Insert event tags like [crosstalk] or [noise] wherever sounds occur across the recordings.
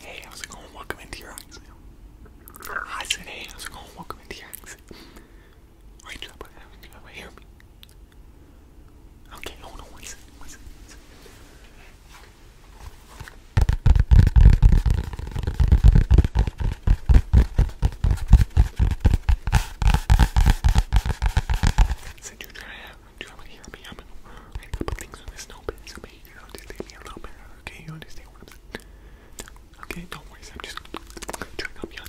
Hey, how's it going? Welcome into your exam. I said, hey, how's it going? Welcome into your exam. Are you trying to hear Okay, hold on one second, one second, one second. Since you're trying to, hear me, I'm going to write things on this notepad, so okay? You understand what I'm saying? don't worry, I'm just trying to help you out.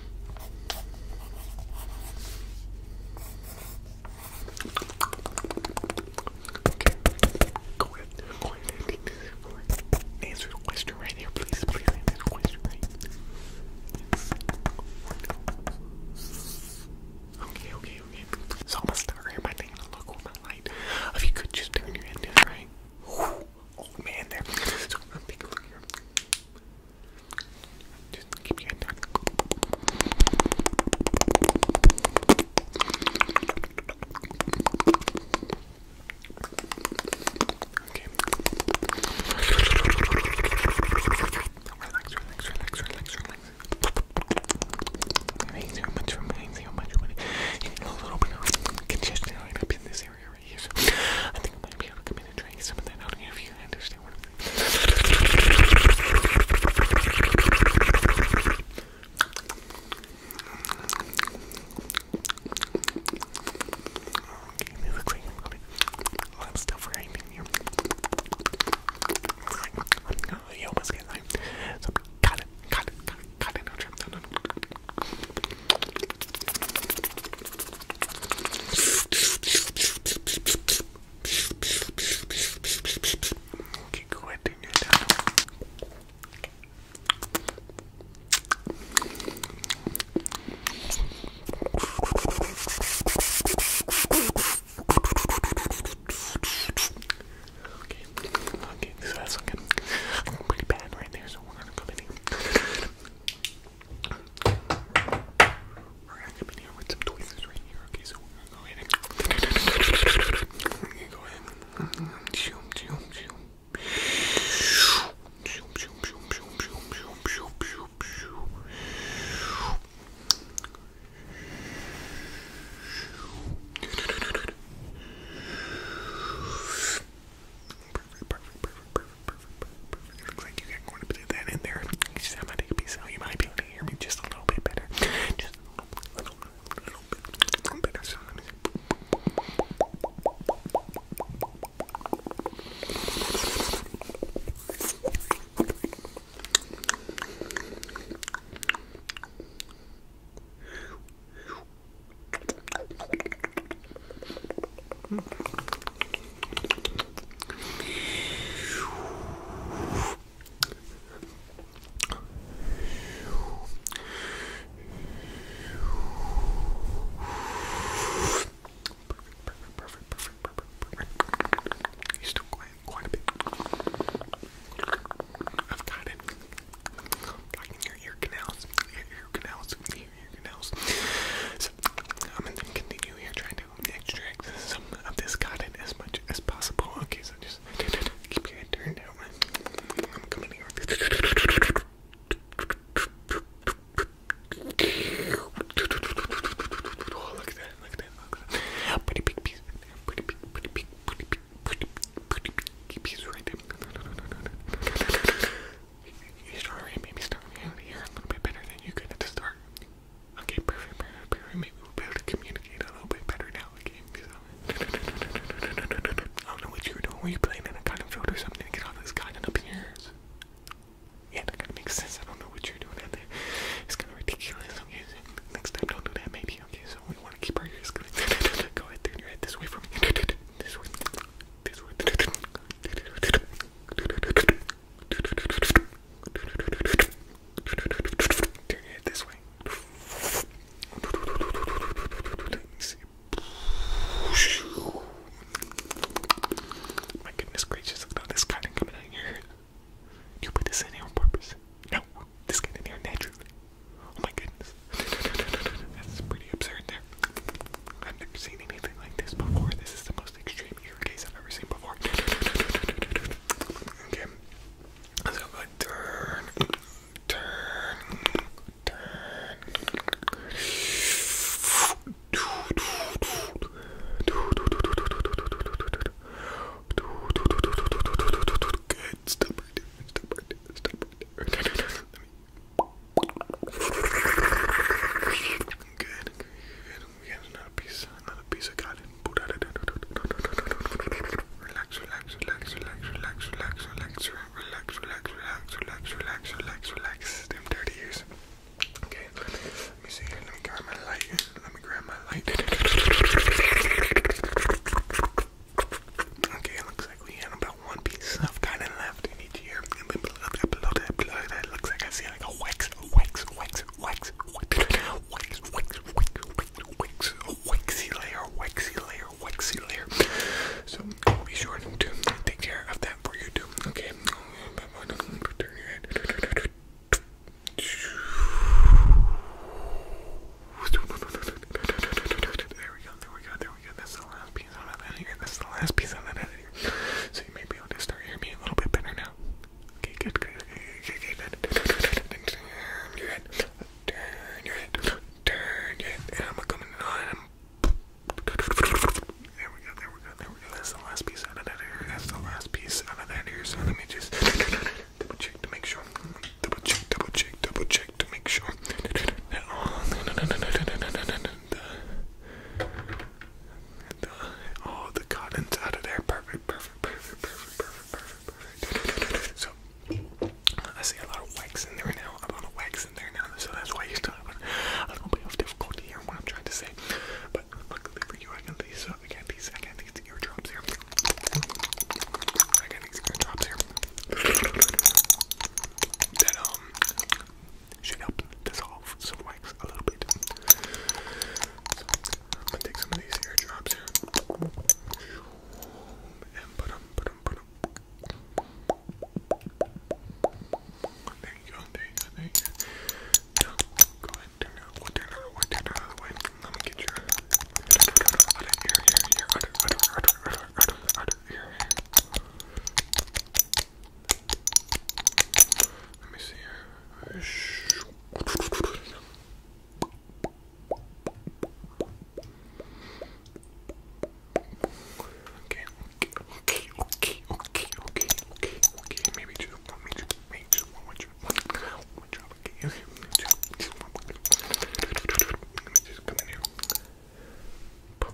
Okay. Go ahead. Answer the question right here, please. Please answer the question right Okay, okay, okay. So I'm going taking a look with my light. If you could just turn your head right old oh, man there. So I'm taking a look here. Just keep your hand down. Okay. Relax, relax, relax, relax, relax. A little bit of congestion right up in this I think I might be able to come in and drink some of that out here if you understand what I'm saying. I'm gonna a you almost got it, got it, got it, Okay, go ahead and do that. Okay, okay, that's looking pretty bad right there, so we're gonna we're gonna come in here with some tweezers right here. Okay, so we're gonna go ahead and we're gonna go ahead and shoom shoom shoom. Shoom shoom shoom shoom shoom shoom shoom shoom shoom perfect, looks like you got going to put that in there. Just, I'm gonna You might be able to hear me just a little bit better. Just a little, little, little bit, better. Perfect, perfect, perfect, perfect, perfect. He's still quiet quite a I've got it. I can hear ear canals, ear, ear canals, your nose. So, I'm going to continue here trying to extract some of this cotton as much as possible. Okay, so just keep your turned down. I'm coming here. Oh, look at that, look at that, look at that. Pretty big piece right there. Pretty big, pretty big, pretty big, pretty big, pretty big piece right there. You should already maybe start me out a little bit better than you could at the start. Okay, perfect, perfect, perfect. Maybe we'll be able to communicate a little bit better now, [laughs] I don't know what you were doing. Were you playing in a cotton field or something get all this cotton up here? Yeah, that kind of makes sense. I don't know what you're doing out there. It's kind of ridiculous, okay? next time, don't do that, maybe, okay? So we want to keep our ears clean. [laughs] Go ahead, turn your head this way from me. [laughs] This one. This one. Turn your head this way. Let me see. My goodness gracious, look at this cotton coming out of here. You put this in here on purpose? No, this came in here naturally. Oh my goodness. That's pretty absurd there. I've never seen anything like this before. This is the most extreme ear case I've ever seen before. Okay. I'm going uh, turn, turn, turn. Good. Stop right Stop right Stop right Good. Good. We got another piece. Another piece. I got it. Relax, relax, relax, relax, relax, relax, relax, relax, relax, relax, relax, relax, relax, relax. Them dirty ears. Okay. Let me see here. Let me grab my light. Let me grab my light. Okay, it looks like we had about one piece of cotton left in each ear. It looks like I see like a wax, wax, wax, wax, wax, wax, wax, wax, wax, waxy layer, waxy layer, waxy layer. So be sure to take care of that for you too. Okay. Turn your head. There we go, there we go, there we there That's the last piece on that editor. That's the last piece on that editor. So you may be able to start hearing me a little bit better now. Okay, good, good, good, good, good, good. Turn your head. your head. your head. And I'm coming on. There we go, there we go, there we go. That's the last piece out of that ear. That's the last piece out of that ear. So let me just double check to make sure. Double check, double check, double check, to make sure that all the, all the cotton's out of there. Perfect, perfect, perfect, perfect, perfect, perfect, perfect. So I see a lot of wax in there now. A lot of wax in there now. So that's why you still have a little bit of difficulty hearing what I'm trying to say. But luckily for you, I got these. Uh, I got these. I can these eardrops here. I got these eardrops here that um should help dissolve some wax a little bit. So I'm gonna take some of these airdrops here and put them, put There you go, there you go, there you go. go ahead and turn it out, turn it out, the way. Let me get your, out of here, here, here, out here. Let me see Okay, okay, okay, okay, okay, okay, okay. Maybe just maybe just, maybe just one, one job, one, one job. Okay, okay. Let me just come in here. Okay.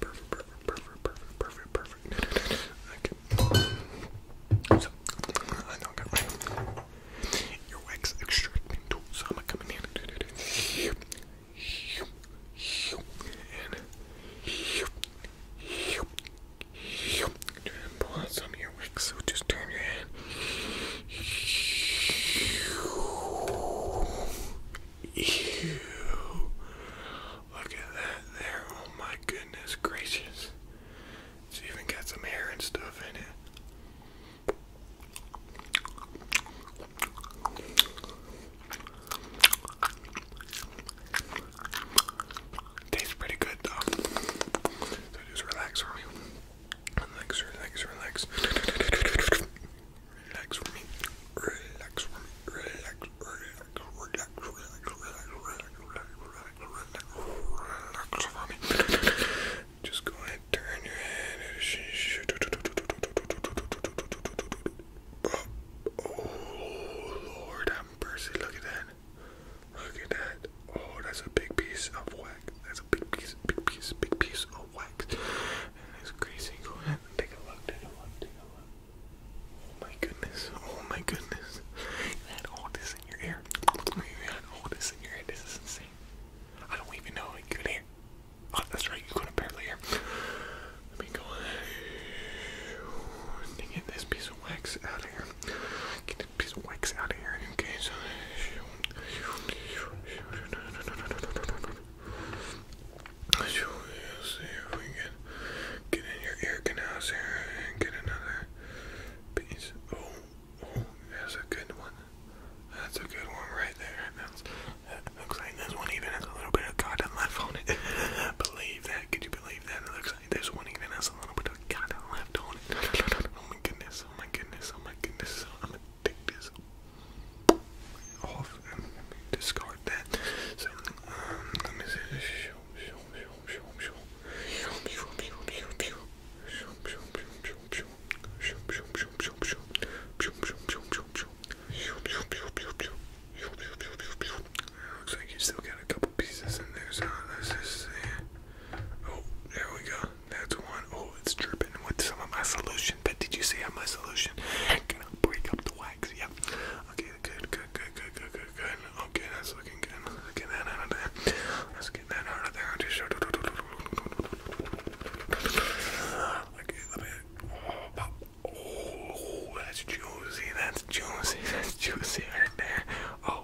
Perfect, perfect, perfect, perfect. Okay. So, I know I got right. Your wax extracting tool, so I'm gonna come in here. And pull out some so just turn your head. Ew. Look at that there. Oh my goodness gracious. It's even got some hair and stuff in it. Tastes pretty good though. So just relax for Relax, relax, relax. Relax for me. Relax for me. Relax, relax, relax, relax, relax, relax, relax, relax for me. Just go ahead, turn your head. Oh Lord, I'm Percy. Look at that. Look at that. Oh, that's a big piece of wax. That's a big piece, big piece, big piece of wax. And it's crazy. Go ahead and take a look, take a look, take a look. Oh my goodness, oh my goodness. You had all this in your ear. You had all this in your ear. This is insane. I don't even know you could hear. Oh, that's right, you couldn't barely hear. Let me go ahead and get this piece of wax out of here. Get this piece of wax out of here. Okay, so. Let's see if we can get in your ear canals here and get another piece. Oh, oh, that's a good one. That's a good one right there. that looks like this one even has a little bit of cotton left on it. [laughs] believe that. Could you believe that? It one even has a little bit of cotton left on it. oh my goodness goodness, oh my goodness, oh my goodness, I'm gonna take this off and let me discard that. So, um, let me see, show, show, show, show, show, show, show, Looks like you still got a couple pieces in there, so let's just see. Oh, there we go. That's one. Oh, it's dripping with some of my solution. But did you see how my solution can break up the wax? Yep. Okay, good, good, good, good, good, good, Okay, that's looking good. Let's get that out of there. Let's get that out of there. Just Okay, let me. Oh, oh, that's juicy. That's juicy. That's juicy right there. Oh.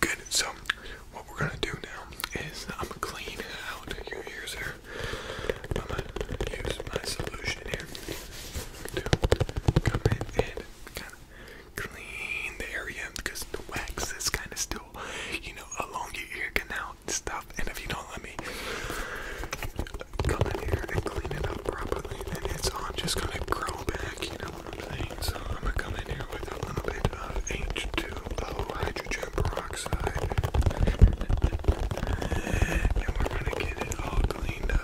Good, So, what we're gonna do now is I'm gonna clean out your ears here. I'm gonna use my solution here to come in and kind of clean the area because the wax is kind of still, you know, along your ear canal and stuff. And if you don't let me come in here and clean it up properly, then it's all just gonna grow back, you know so I'm gonna come in here with a little bit of H2O hydrogen peroxide. and we're gonna get it all cleaned up.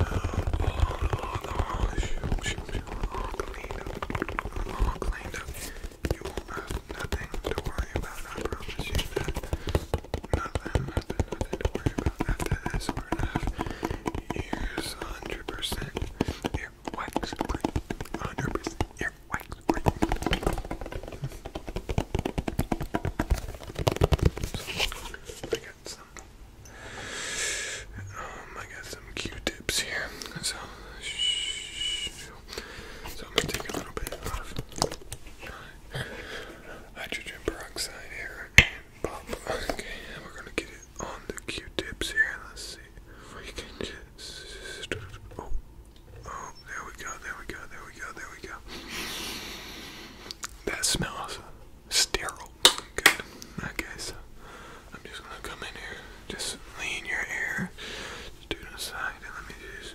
all, all, all, all cleaned up. All cleaned up. You won't have nothing to worry about, I promise you that. Nothing, to worry about after this. We're 100%. 100% earwax I got some. Um, I got some Q-tips here. So, so I'm gonna take a little bit of hydrogen peroxide here and pop. Okay, we're gonna get it on the Q-tips here. Let's see if we can just. Oh, oh, there we go, there we go, there we go, there we go. That smells sterile. Good. Okay, so I'm just gonna come in here, just lean your ear, just do it aside, and let me just.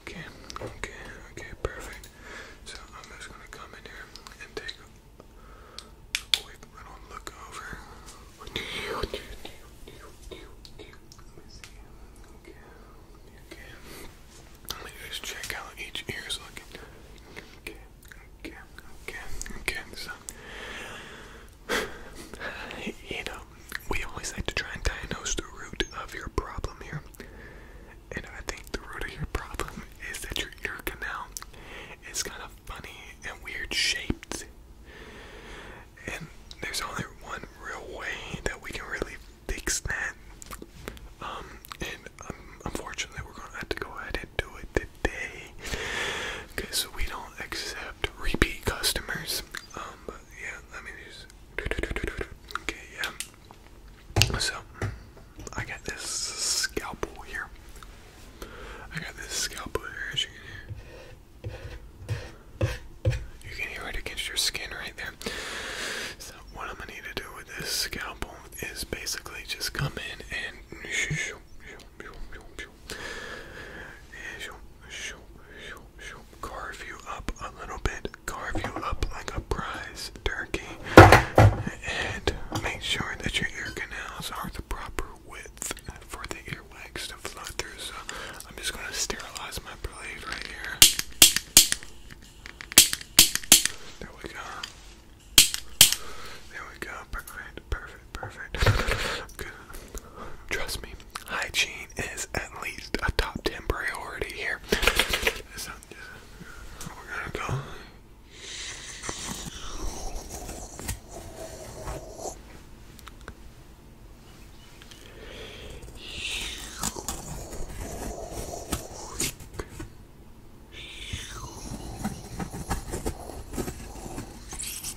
Okay, okay, okay, perfect. So I'm just gonna come in here and take. Oh, wait, I look over. Okay, okay. Let me just check out each ear's looking. Okay, okay, okay, okay. So you [laughs] know, um, we always like to try and diagnose the root of your problem here. And I think the root of your problem is that your ear canal is kind of funny and weird shaped. And there's only one real way that we can really fix that. Um, and um, unfortunately, we're going to have to go ahead and do it today quality [laughs] because we don't accept repeat customers. Um, but yeah, let me just. [laughs] Okay, yeah. So, I got this scalpel here. I got this scalpel here, You can hear it against your skin right there. So, what I'm gonna need to do with this scalpel is basically just come in and [laughs] Carve you up a little bit. Carve you up like a prize turkey. And make sure that your ear canals are the proper width for the earwax to flow through. So I'm just going to sterilize my blade right here. There we go. There we go. Perfect. Perfect perfect, Good. Trust me, hygiene is at least a top 10 priority here. we're gonna go.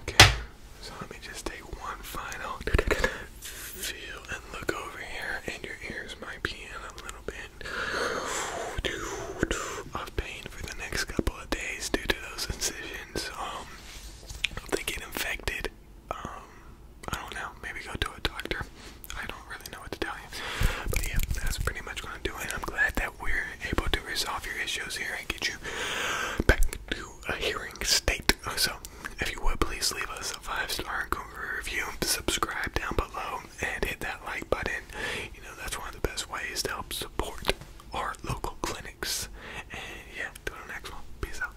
Okay, so let me just take one final feel and look over here, and your ears might be in a little bit of pain for the next couple of days due to those incisions. Um, they get infected um, I don't know, maybe go to a doctor. I don't really know what to tell you. But yeah, that's pretty much gonna do it. I'm glad that we're able to resolve your issues here and get you back to a hearing state. So if you would please leave us a five star review, subscribe down below and hit that like button. You know that's one of the best ways to help support our local clinics. And yeah, till the next one. Peace out.